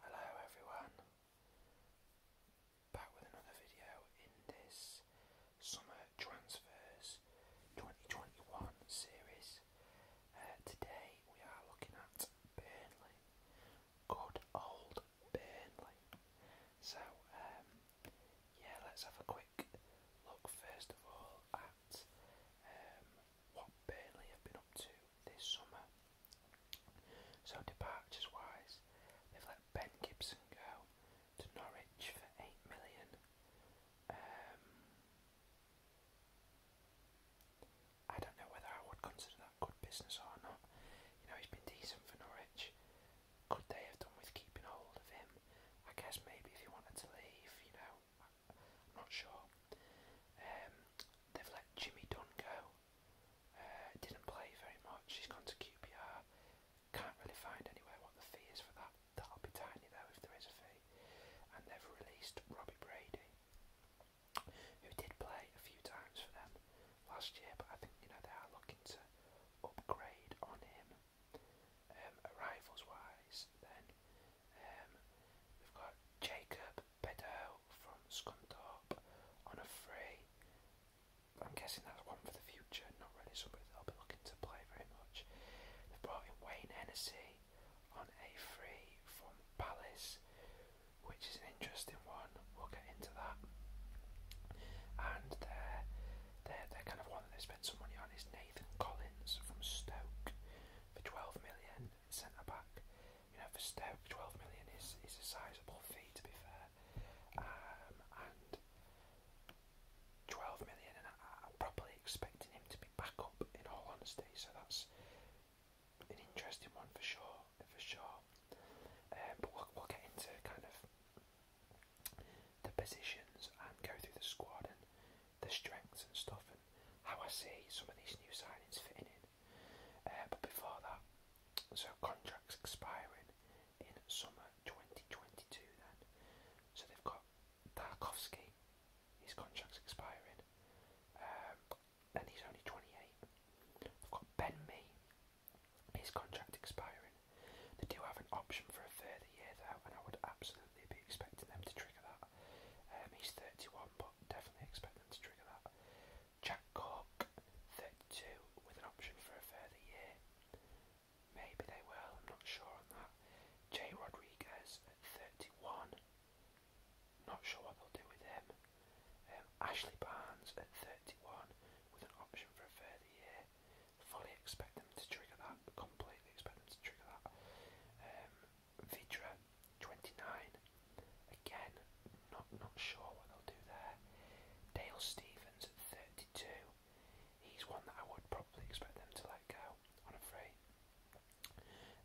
Hello everyone, back with another video in this Summer Transfers 2021 series. Uh, today we are looking at Burnley, good old Burnley. So um, yeah, let's have a quick look first of all at um, what Burnley have been up to this summer. So departures wise, they've let Ben Gibson go to Norwich for eight million. Um, I don't know whether I would consider that good business or not. You know, he's been decent for Norwich. Could they have done with keeping hold of him? I guess maybe if he wanted to leave, you know, I I'm not sure. Um, they've let Jimmy Dunn go. Uh, didn't play very much. He's gone to QPR. Can't really find anywhere what the fee is for that. That'll be tiny though if there is a fee. And they've released Robbie Brady, who did play a few times for them last year, but I think you know they are looking to upgrade on him. Um, arrivals wise, then um, we've got Jacob Beddow from Scunthorpe on a free. I'm guessing that's one for the future, not really somebody that I'll be looking to play very much. They've brought in Wayne Hennessy on a free from Palace, which is an interesting one. We'll get into that. And they're, they're, they're kind of one that they spent some money on is Nathan Collins from Stoke for 12 million. 10 centre back. You know, for Stoke, 12 million is, is a sizable fee to be fair. Um, and 12 million, and I, am probably expecting him to be back up in all honesty, so that's an interesting one for sure. For sure. Um, but we'll, we'll get into kind of the positions and go through the squad and the strengths and stuff and how I see some of these new signings fitting in. Uh, but before that, so contracts expiring in summer 2022 then. So they've got Tarkovsky, his contract's expiring, um, and he's only 28. They've got Ben Mee, his contract expiring. They do have an option for a further year though, and I would absolutely they'd be expecting them to trigger that. Um, he's 31, but definitely expect them to trigger that. Jack Cork, 32, with an option for a further year. Maybe they will, I'm not sure on that. Jay Rodriguez at 31, not sure what they'll do with him. Um, Ashley Barnes at 31, with an option for a further year. Fully expect them to trigger that that. Completely expect them to trigger that. Um, Vidra, 29. Again, not not sure what they'll do there. Dale Stevens at 32. He's one that I would probably expect them to let go on a free.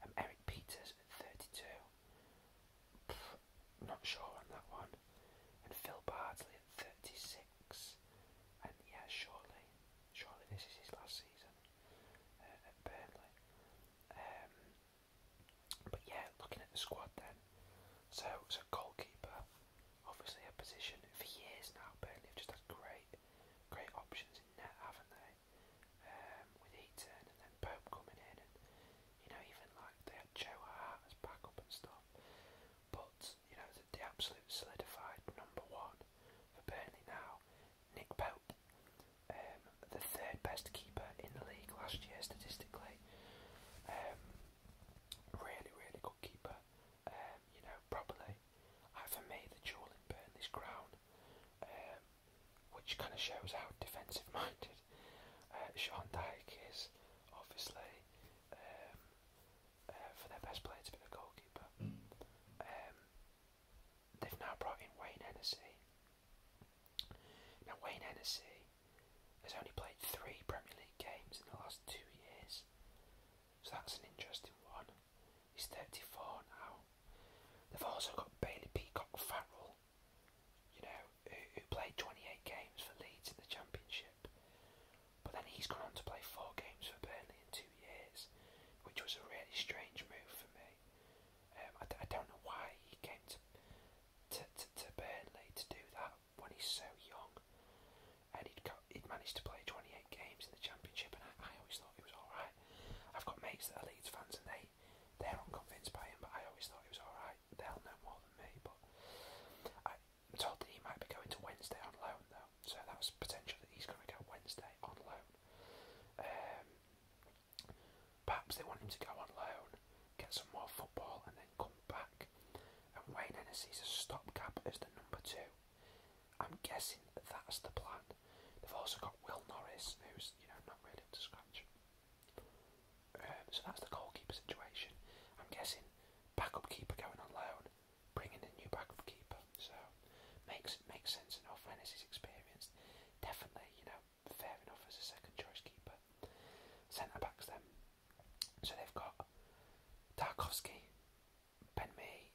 Um, Eric Peters at 32. Pff, not sure on that one. And Phil Bardsley at 36. And yeah, surely, surely this is his last season uh, at Burnley. Um, but yeah, looking at the squad then, so so goalkeeper, obviously a position for years now. Burnley have just had great, great options in net, haven't they? Um, with Eaton and then Pope coming in, and you know even like they had Joe Hart as backup and stuff. But you know, the, absolute solidified number one for Burnley now, Nick Pope, um, the third best keeper in the league last year statistically. Um, really, really good keeper. Um, you know, probably for me the jewel in Burnley's crown, um, which kind of shows how defensive-minded uh, Sean Dyke is. Obviously, um, for their best player to the goalkeeper. Hmm. Um, they've now brought in Wayne Hennessy. Now, Wayne Hennessy has only played three Premier League games in the last two years, so that's an interesting one. He's 34 now. They've also got Bailey Peacock Farrell, you know, who played 28 games for Leeds in the Championship. But then he's gone on to play four games for Burnley in two years, which was a really strange move for me. Um, I, I don't know why he came to, to, to, to Burnley to do that when he's so young. And he'd, got, he'd managed to play 28 games in the Championship, and I, I always thought it was alright. I've got mates that are Leeds fans, and they, they're unconvinced by him, but I always thought it was alright. They'll know more than me, but I, I'm told that he might be going to Wednesday on loan though, so that's potential that he's going to go Wednesday on loan. Um, perhaps they want him to go on loan, get some more football, and then come back. And Wayne Hennessy's a stopgap as the number two. I'm guessing that that's the plan. They've also got Will Norris, who's you know not really up to scratch. Um, so that's the goalkeeper situation. I'm guessing backup keeper going on loan, bringing a new backup keeper. So makes makes sense. And Alfrenas is experienced, definitely. You know, fair enough as a second choice keeper. Centre backs then. So they've got Tarkovsky, Ben Mee,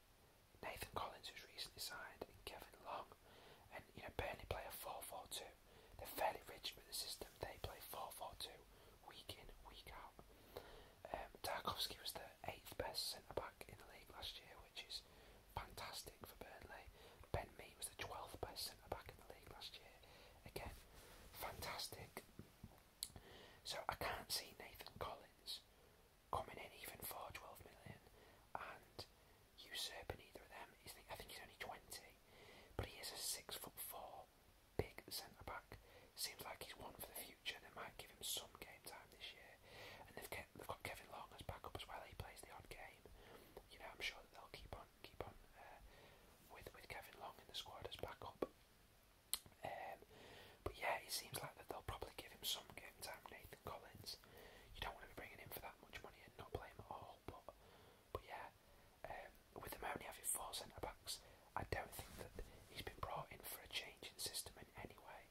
Nathan Collins, who's recently signed, and Kevin Long. And you know, Burnley play a 4 They're fairly rigid with the system. They play 4 week in, week out. Um, was the eighth best centre back in the league last year, which is fantastic for Burnley. Ben Mee was the 12th best centre back in the league last year. Again, fantastic. So I can't see Nathan Collins coming in even for 12 million and usurping either of them. I think he's only 20, but he is a 6 foot 4 big centre back. Seems like he's one for the future. They might give him some game time this year, and they've kept, they've got Kevin Long as backup as well. He plays the odd game. You know, I'm sure that they'll keep on keep on uh, with with Kevin Long in the squad as backup. Um, but yeah, it seems like that they'll probably give him some game time. Nathan Collins, you don't want to be bringing him for that much money and not play him at all. But but yeah, um, with them only having four centre backs, I don't think that he's been brought in for a change in system in any way.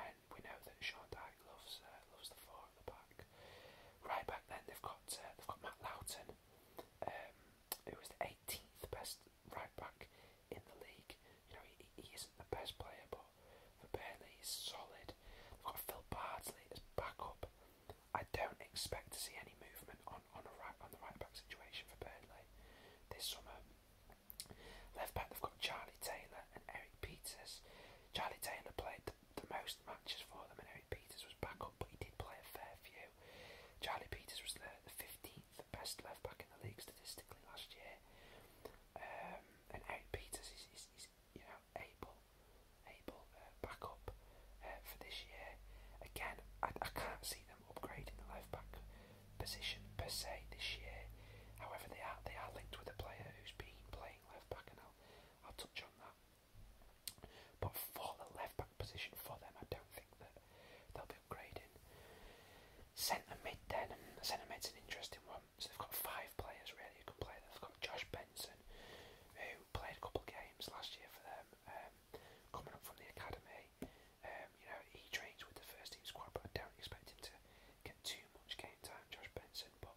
And we know that Sean Dyke loves uh, loves the four at the back. Right back then, they've got uh, they've got Matt Loughton, um, who was the 18th best right back in the league. You know, he, he isn't the best player, but for Burnley, he's solid. They've got Phil Bardsley as backup. I don't expect to see any movement on on, on a right on the right back situation for Burnley this summer. Left back they've got Charlie Taylor and Eric Peters. Charlie Taylor played the, the most matches for them and Eric Peters was back up but he did play a fair few. Charlie Peters was the, the 15th best left back in the league statistically last year. Um, and Eric Peters is, is, is you know able able uh, uh, for this year. Again, I, I can't see them upgrading the left back position per se this year. However, they are they are linked with a player who's been playing left back, and I'll I'll touch on that. But for the left back position for them, I don't think that they'll be upgrading. Centre mid then, centre mid's an interesting one. So they've got five players really who can play. They've got Josh Benson, who played a couple of games last year for them, um, coming up from the academy. Um, you know, he trains with the first team squad, but I don't expect him to get too much game time, Josh Benson. But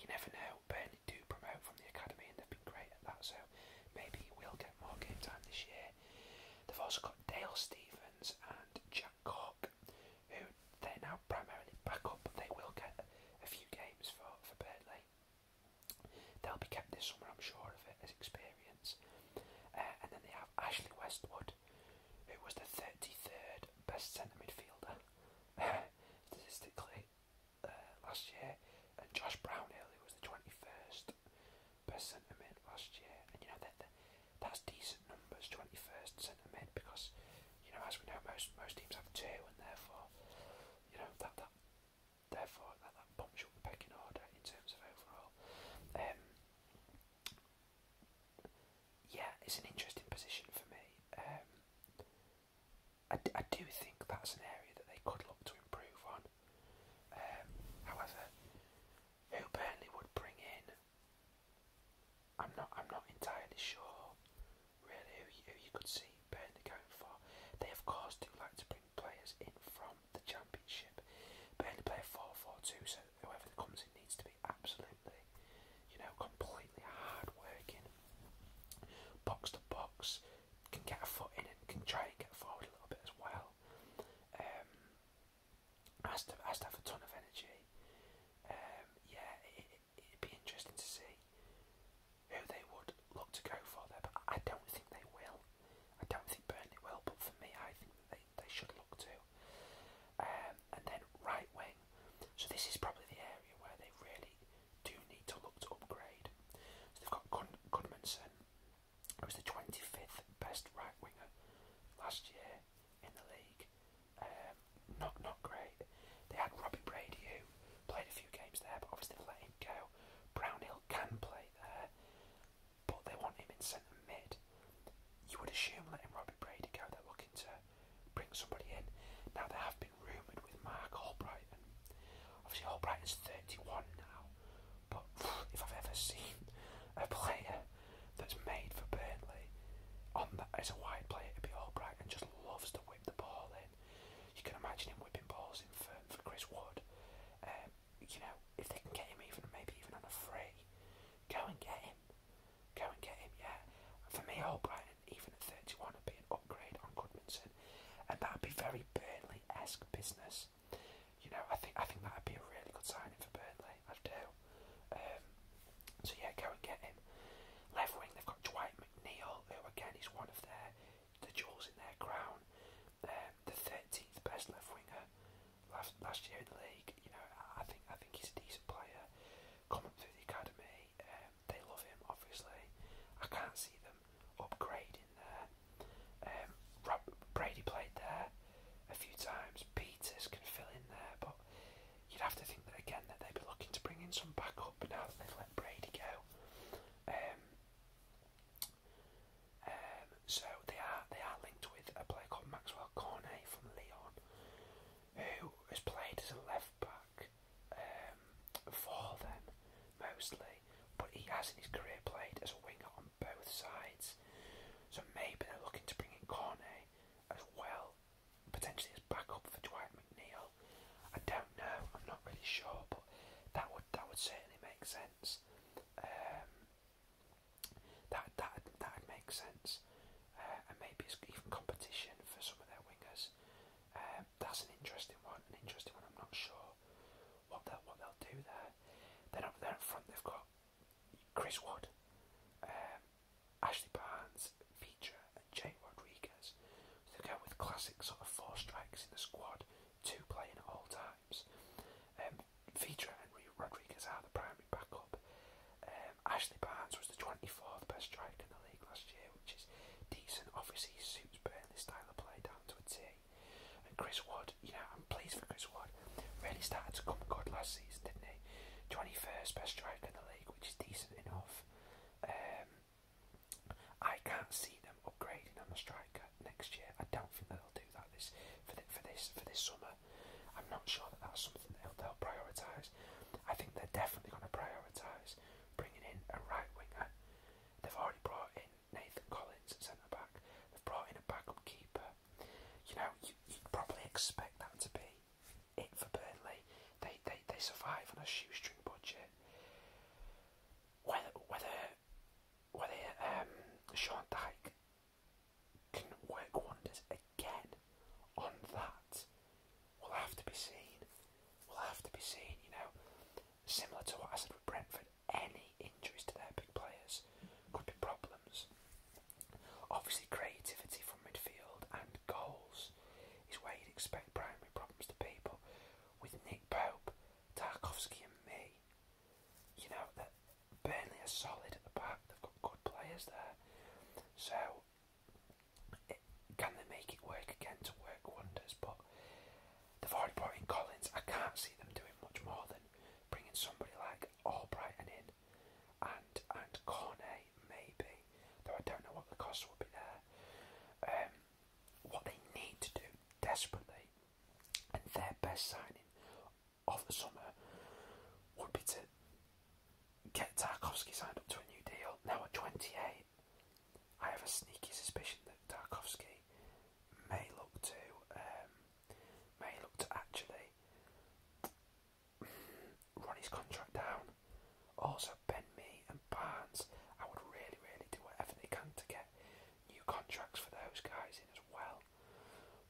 you never know. Burnley do promote from the academy, and they've been great at that. So maybe he will get more game time this year. They've also got Dale Stevens and Jack Cock, who they're now primarily back up, but they will get a few games for for Burnley. They'll be kept this summer, I'm sure of it, as experience. Uh, and then they have Ashley Westwood, who was the 33rd best centre midfielder statistically uh, last year, and Josh Brownhill, who was the 21st best centre mid last year. And you know that that's decent numbers, 21st centre mid, because you know as we know most most teams have two, and therefore you know that that therefore that, that bumps up the pecking order in terms of overall. Um, yeah, it's an interesting position for me. Um, I, d I do think that's an area that they could look to improve on. Um, however, who Burnley would bring in, I'm not. I'm not entirely sure really who you, who you could see Burnley going for. They of course do like to bring players in from the championship. Burnley play 4-4-2 so whoever that comes in needs to be absolutely, you know, completely hard working. Box to box, can get a foot in and can try and get forward a little bit as well. Um, has to, has to have a ton of energy. Um, yeah, it, would be interesting to see who they would look to go for there, but I don't think they will. I don't think Burnley will, but for me, I think that they, they should look to. Um, and then right wing. So this is probably the area where they really do need to look to upgrade. So they've got Gun Gunmanson, who was the 25th best right winger last year in the league. Um, not not great. They had Robbie Brady, who Played a few games there, but obviously let him go. Brownhill can play there, but they want him in centre mid. You would assume letting Robbie Brady go, they're looking to bring somebody in. Now, there have been rumoured with Mark Albright, and obviously Albrighton's 31 now, but if I've ever seen a player that's made for Burnley on that as a wide player to be Albright and just loves to whip the ball in you can imagine him whipping balls in for, for Chris Wood. Um, you know, if they can get him even, maybe even on a free, go and get him. Go and get him, yeah. For me, Albrighton, even at 31, would be an upgrade on Goodmanson. And that would be very Burnley-esque business. You know, I think I think that would be a really good signing for Burnley. I do. Um, so yeah, go and get him. Left wing, they've got Dwight McNeil, who again is one of their the jewels in their crown, um, the 13th best left winger last last year in the league. You know, I think I think he's a decent player. Coming through the academy, um, they love him. Obviously, I can't see them upgrade in there. Um, Brady played there a few times. Peters can fill in there, but you'd have to think that again that they'd be looking to bring in some backup now that they've let Brady go. Um, um, so they are they are linked with a player called Maxwell Cornet from Lyon, who has played as a left back um, for them mostly, but he has in his career played as a winger on both sides. So maybe they're looking to bring in Cornet as well, potentially as backup for Dwight McNeil. I don't know. I'm not really sure, but that would that would certainly make sense. Um, that that that would make sense, uh, and maybe it's even competition for some of their wingers. Um, that's an interesting one. An interesting one. I'm not sure what they'll what they'll do there. Then up there in front, they've got Chris Wood. Um, Ashley Barnes, Feature, and Jay Rodriguez. So they with classic sort of four strikes in the squad, two playing all times. Um, Feature and Rodriguez are the primary backup. Um, Ashley Barnes was the 24th best striker in the league last year, which is decent. Obviously, suits Burnley's style of play down to a T. And Chris Wood, you know, I'm pleased for Chris Wood. Really started to come good last season, didn't he? 21st best striker in the league, which is decent enough off. Um, I can't see them upgrading on the striker next year. I don't think they'll do that this for the, for this for this summer. I'm not sure that that's something they'll, they'll prioritise. I think they're definitely going to prioritise bringing in a right winger. They've already brought in Nathan Collins at centre back. They've brought in a backup keeper. You know, you, you'd probably expect that to be it for Burnley. They they, they survive on a shoestring budget. Whether whether whether um, Sean Dyke can work wonders again on that will have to be seen. Will have to be seen. You know, similar to what I said with Brentford, any injuries to their big players could be problems. Obviously, creativity from midfield and goals is where you'd expect primary problems to be, but with Nick Pope, Tarkovsky, and me, you know, that Burnley are solid at the back, they've got good players there. So, can they make it work again to work wonders? But they've already brought in Collins. I can't see them doing much more than bringing somebody like Albrighton in and and Cornet maybe, though I don't know what the cost would be there. Um, what they need to do desperately, and their best signing of the summer would be to get Tarkovsky signed up to a new deal. Now at 28, I have a sneaky suspicion that Tarkovsky may look to um, may look to actually run his contract down. Also, Ben Me and Barnes, I would really, really do whatever they can to get new contracts for those guys in as well.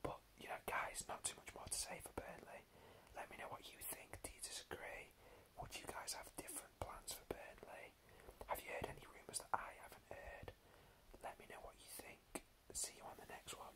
But, you know, guys, not too much more to say for Burnley. Let me know what you think. Do you disagree? Would you guys have different plans for Burnley? Have you heard any rumours that I haven't heard? Let me know what you think. See you on the next one.